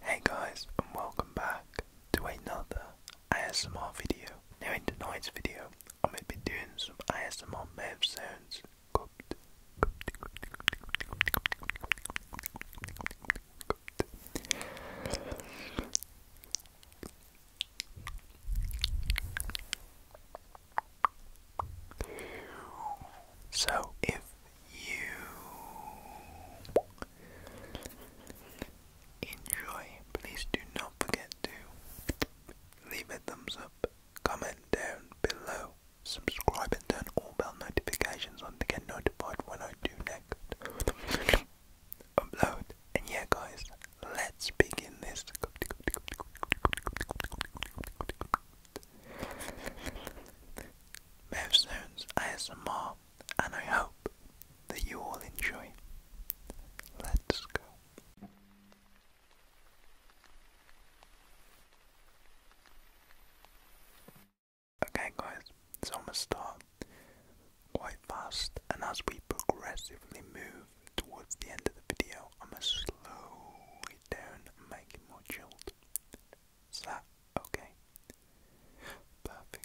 Hey guys and welcome back to another ASMR video. Now in tonight's video I'm going to be doing some ASMR mouth sounds So if you enjoy. Please do not forget to leave a thumbs up, comment down below, subscribe and turn all bell notifications on to get notified when I do next upload. And yeah guys, let's begin this. Bev Stones ASMR, and I hope that you all enjoy. Let's go. Okay, guys, so I'm gonna start quite fast, and as we progressively move towards the end of the video, I'm gonna slow it down make it more chilled. Is that okay? Perfect.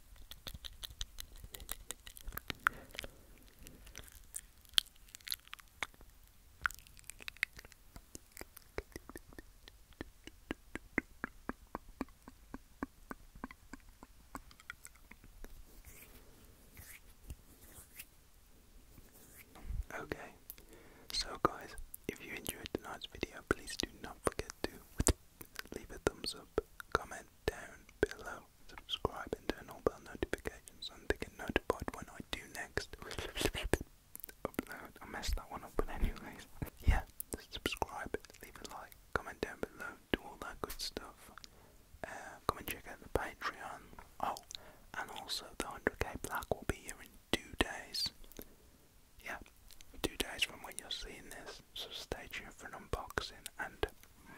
Okay, so guys, if you enjoyed tonight's video, please do not forget to leave a thumbs up, comment, down below, subscribe and turn on bell notifications so they get notified when I do next. Upload. Oh, I messed that one up, but anyways, yeah, subscribe, leave a like, comment down below, do all that good stuff. Uh, come and check out the Patreon. Oh, and also the 100k black will be here in two days. Yeah, two days from when you're seeing this month, so stay tuned for an unboxing and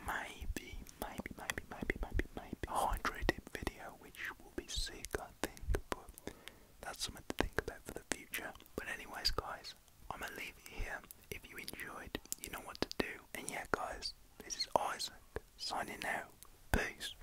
maybe, maybe, maybe, maybe, maybe, maybe a hydrated video, which will be sick, I think, but that's something to think about for the future. But anyways, guys, I'm gonna leave it here. If you enjoyed, you know what to do. And yeah, guys, this is Isaac signing out. Peace.